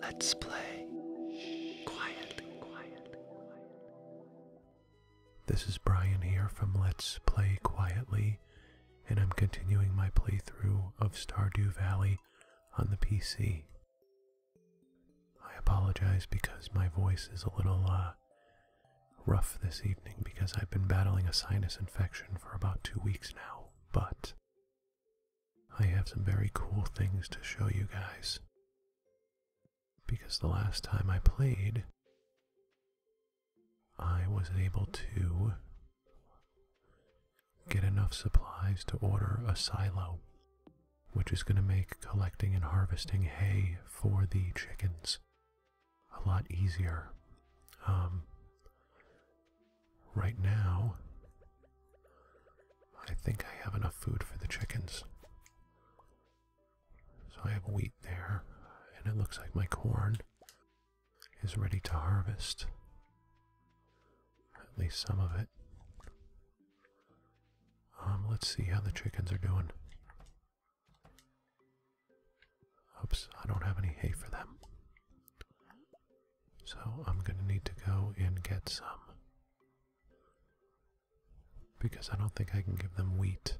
Let's play quietly, This is Brian here from Let's Play Quietly, and I'm continuing my playthrough of Stardew Valley on the PC. I apologize because my voice is a little uh, rough this evening because I've been battling a sinus infection for about two weeks now, but I have some very cool things to show you guys. Because the last time I played, I was able to get enough supplies to order a silo, which is going to make collecting and harvesting hay for the chickens a lot easier. Um, Right now, I think I have enough food for the chickens. So I have wheat there, and it looks like my corn is ready to harvest. At least some of it. Um, let's see how the chickens are doing. Oops, I don't have any hay for them. So I'm going to need to go and get some. Because I don't think I can give them wheat.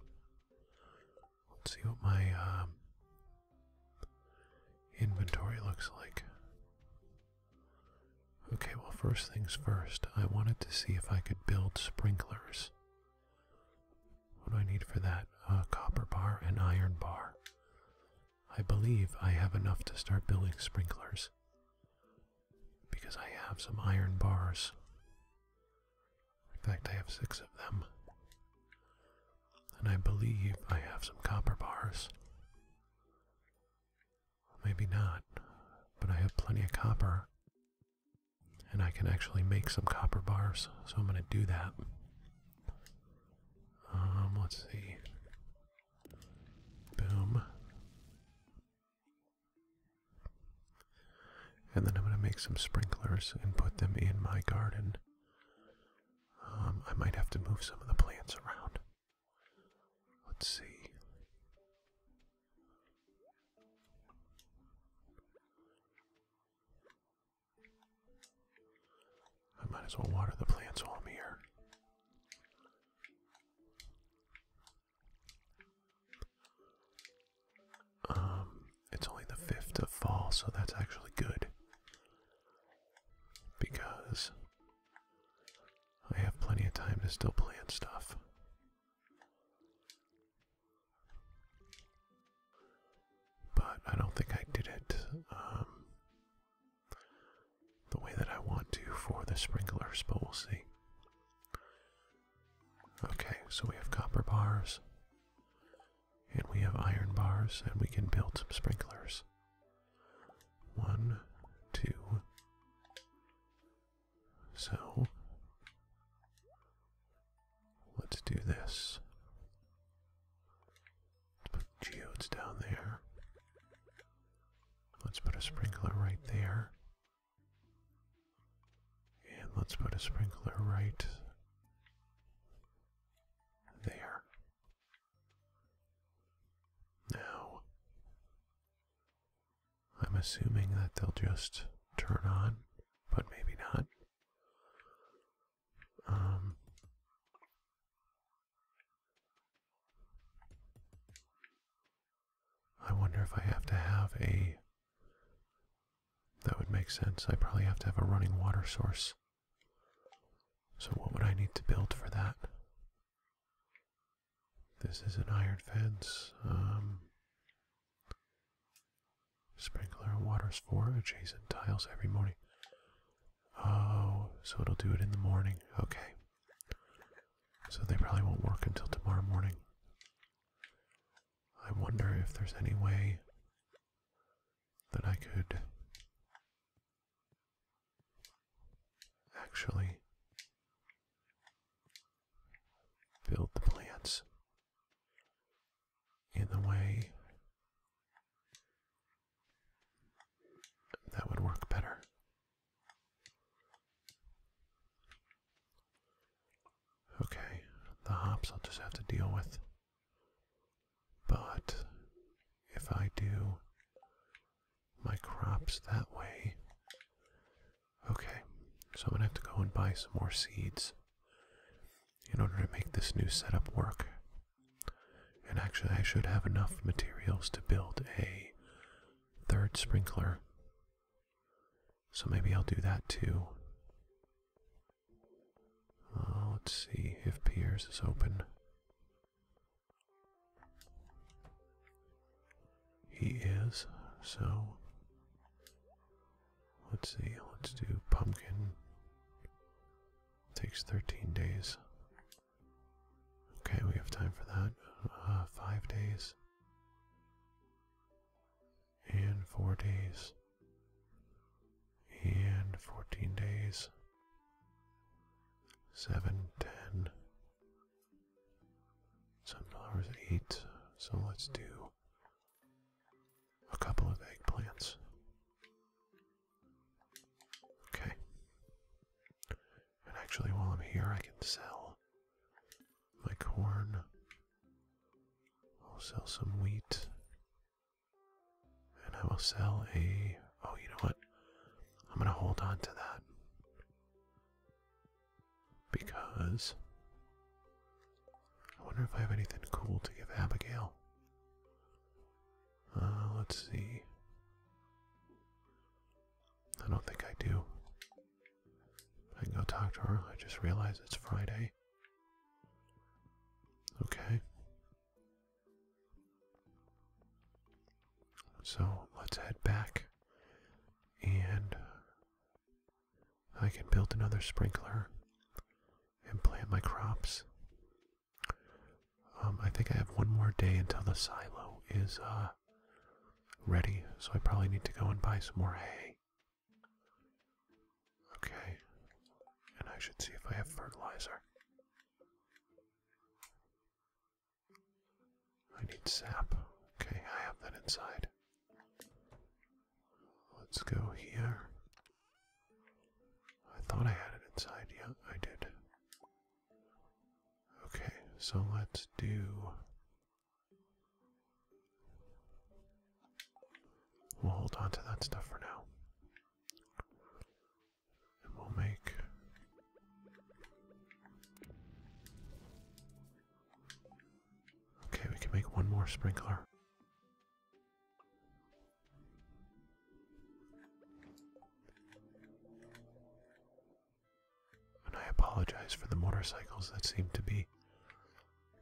Let's see what my um, inventory looks like. Okay, well, first things first, I wanted to see if I could build sprinklers. What do I need for that? A uh, copper bar and iron bar. I believe I have enough to start building sprinklers because I have some iron bars. In fact, I have six of them. And I believe I have some copper bars. Maybe not, but I have plenty of copper. And I can actually make some copper bars, so I'm going to do that. Um, let's see. Boom. And then I'm going to make some sprinklers and put them in my garden. Um, I might have to move some of the plants around. Let's see. I might as well water the plants while I'm here. Um, it's only the 5th of fall, so that's actually good. Because I have plenty of time to still plant stuff. But I don't think I did it um, the way that I want to for the sprinklers, but we'll see. Okay, so we have copper bars, and we have iron bars, and we can build some sprinklers. One, two. So, let's do this. Let's put geodes down there. Let's put a sprinkler right there. And let's put a sprinkler right there. Now, I'm assuming that they'll just turn on, but maybe not. Um, I wonder if I have to have a. That would make sense. I probably have to have a running water source. So, what would I need to build for that? This is an iron fence. Um, sprinkler waters for adjacent tiles every morning. Oh, so it'll do it in the morning. Okay. So they probably won't work until tomorrow morning. I wonder if there's any way that I could actually build the plants in a way that would work better. Okay, the hops I'll just have to deal with. But if I do my crops that way, okay, so I'm gonna have to go and buy some more seeds in order to make this new setup work. And actually, I should have enough materials to build a third sprinkler. So maybe I'll do that too. Uh, let's see if Pierce is open. He is, so let's see, let's do pumpkin Takes 13 days. Okay, we have time for that. Uh, five days. And four days. And 14 days. 7, 10. Sunflowers, 8. So let's do a couple of eggplants. Okay. And actually, while I'm here, I can sell my corn. I'll sell some wheat. And I will sell a. Oh, you know what? I'm going to hold on to that. Because. I wonder if I have anything cool to give Abigail. Uh, let's see. I don't think I do. I can go talk to her. I just realized it's Friday. Okay. So let's head back and I can build another sprinkler and plant my crops um, I think I have one more day until the silo is uh, ready, so I probably need to go and buy some more hay. Okay, and I should see if I have fertilizer. I need sap. Okay, I have that inside. Let's go here. I thought I had it inside. Yeah, I did. Okay, so let's do. We'll hold on to that stuff for now. we'll make. Okay, we can make one more sprinkler. And I apologize for the motorcycles that seem to be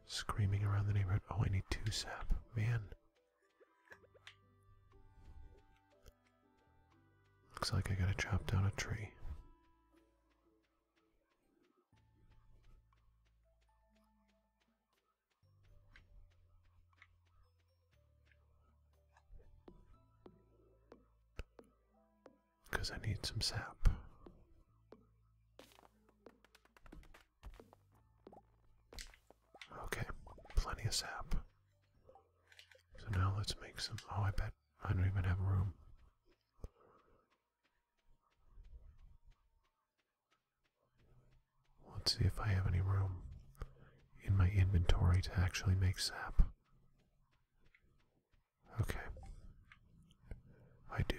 screaming around the neighborhood. Oh, I need two sap. Man. Looks like I gotta chop down a tree. Because I need some sap. Okay, plenty of sap. So now let's make some. Oh, I bet I don't even have room. Let's see if I have any room in my inventory to actually make sap. Okay. I do.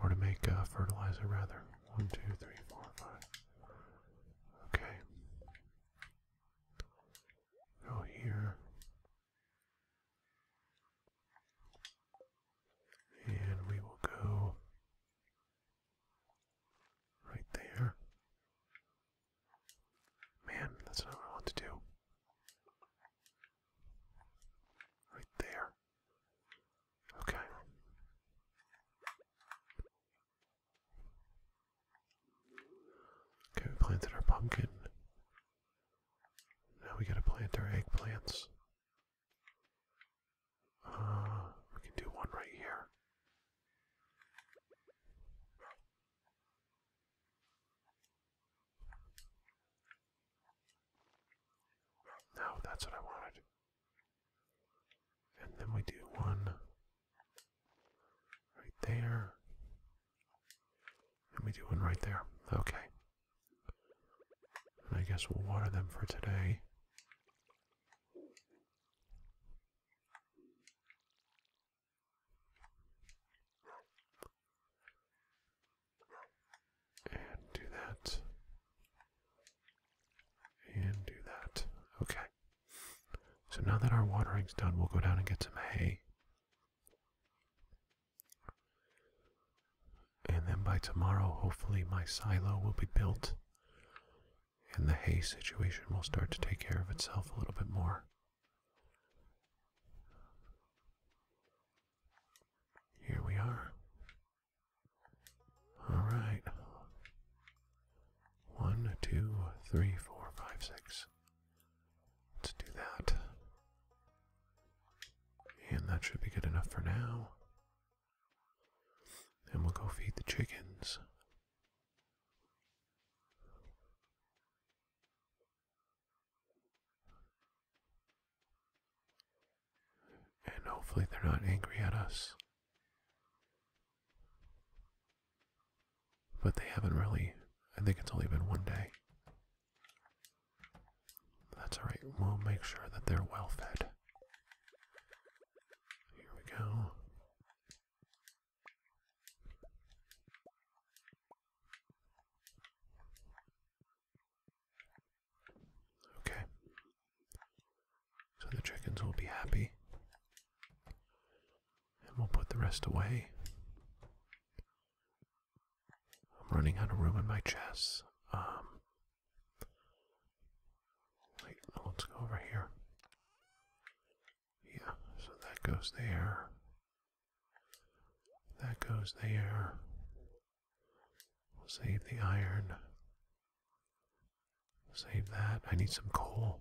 Or to make uh, fertilizer, rather. One, two, three, four, five. Okay. Go here. And we will go Right there. Man, that's what I want to do. Right there. Okay. Okay, we planted our pumpkin. Now we gotta plant our eggplants. Uh, we can do one right here. No, that's what I wanted. And then we do one right there. And we do one right there. Okay. I guess we'll water them for today. And do that. And do that. Okay. So now that our watering's done, we'll go down and get some hay. And then by tomorrow, hopefully, my silo will be built and the hay situation will start to take care of itself a little bit more. Here we are. All right. One, two, three, four, five, six. Let's do that. And that should be good enough for now. And we'll go feed the chickens. And hopefully, they're not angry at us. But they haven't really. I think it's only been one day. That's alright, we'll make sure that they're well fed. Here we go. Okay. So the chickens will be happy. And we'll put the rest away. I'm running out of room in my chest. Um, let's go over here. Yeah, so that goes there. That goes there. We'll save the iron. Save that. I need some coal.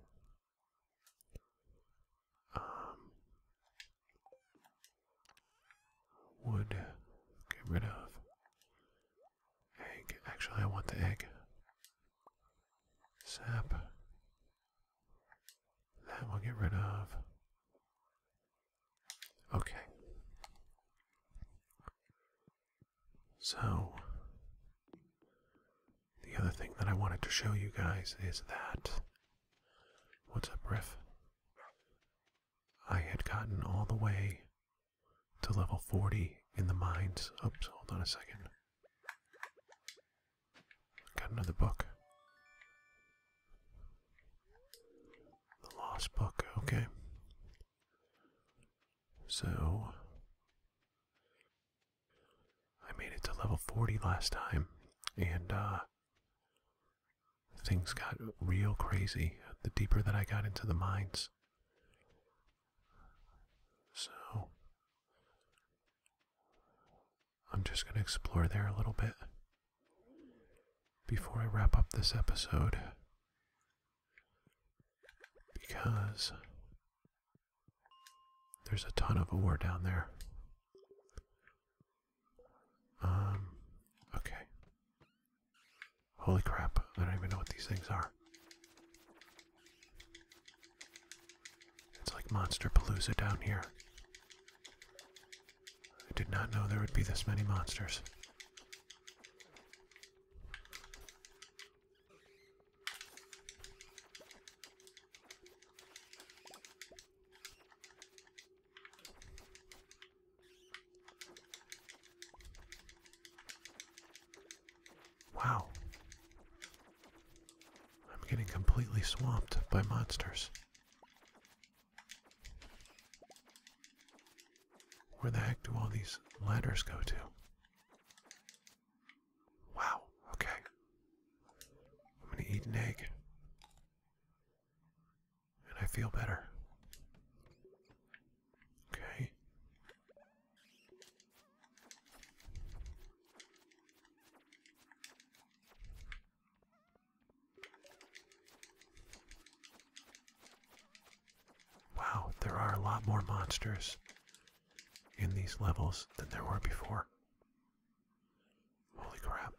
Um, wood. Get rid of. Egg. Actually, I want the egg. Sap. That we'll get rid of. Okay. So, the other thing that I wanted to show you guys is that. What's up, Riff? I had gotten all the way to level 40 in the mines. Oops, hold on a second. Got another book. The Lost Book, okay. So, I made it to level 40 last time, and, uh, Things got real crazy the deeper that I got into the mines. So, I'm just going to explore there a little bit before I wrap up this episode. Because there's a ton of ore down there. Um, okay. Holy crap, I don't even know what these things are. It's like Monster Palooza down here. I did not know there would be this many monsters. Wow. I'm getting completely swamped by monsters. Where the heck do all these ladders go to? Wow, okay. I'm gonna eat an egg and I feel better. Okay. Wow, there are a lot more monsters in these levels than there were before. Holy crap.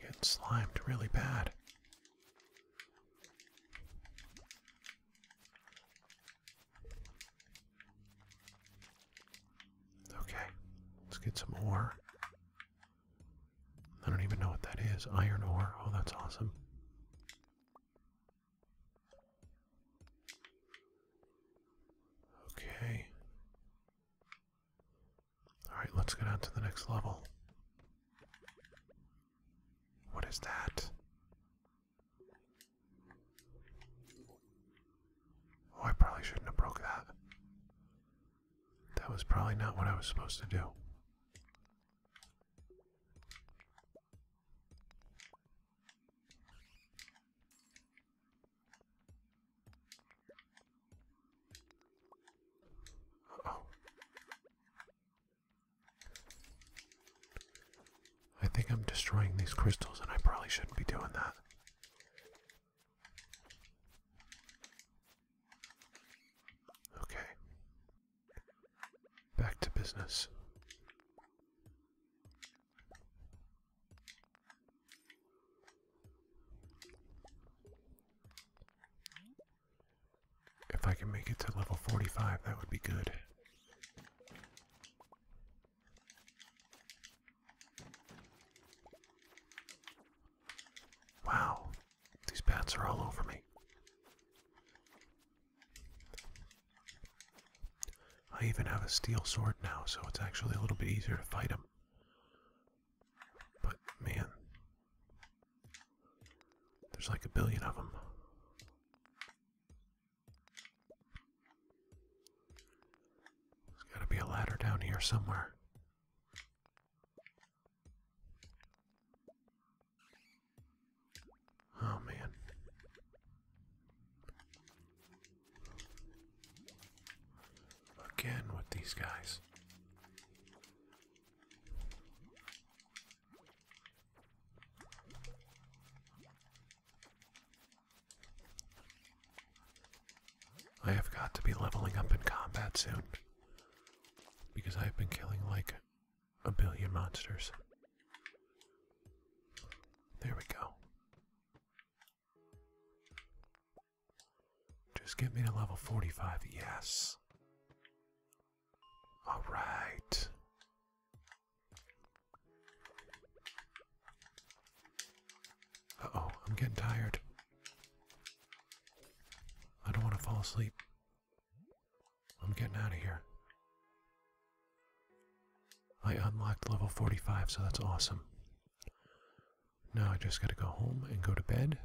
Getting slimed really bad. Okay, let's get some ore. I don't even know what that is. Iron ore. Oh, that's awesome. Okay. Alright, let's get on to the next level. What is that? Oh, I probably shouldn't have broke that. That was probably not what I was supposed to do. Oh. I think I'm destroying these crystals, and I probably shouldn't be doing that. Okay. Back to business. If I can make it to level 45, that would be good. Wow, these bats are all over me. I even have a steel sword now, so it's actually a little bit easier to fight them. But man, there's like a billion of them. There's gotta be a ladder down here somewhere. Oh man. Again with these guys. I have got to be leveling up in combat soon because I've been killing like a billion monsters. There we go. Just get me to level 45, yes. All right. oh, I'm getting tired. I don't want to fall asleep. I'm getting out of here. I unlocked level 45, so that's awesome. Now I just gotta go home and go to bed.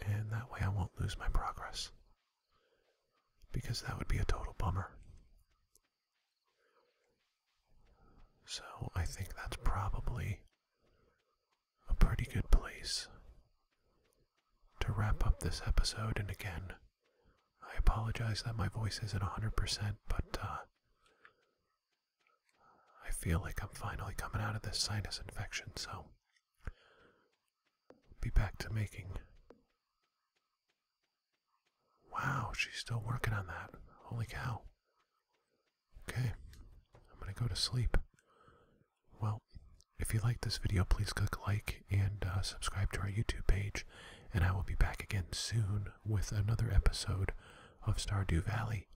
And that way I won't lose my progress. Because that would be a total bummer. So I think that's probably a pretty good place to wrap up this episode. And again, I apologize that my voice isn't 100%, but uh, I feel like I'm finally coming out of this sinus infection, so be back to making. Wow, she's still working on that. Holy cow. Okay, I'm gonna go to sleep. Well, if you like this video, please click like and uh, subscribe to our YouTube page, and I will be back again soon with another episode of Stardew Valley.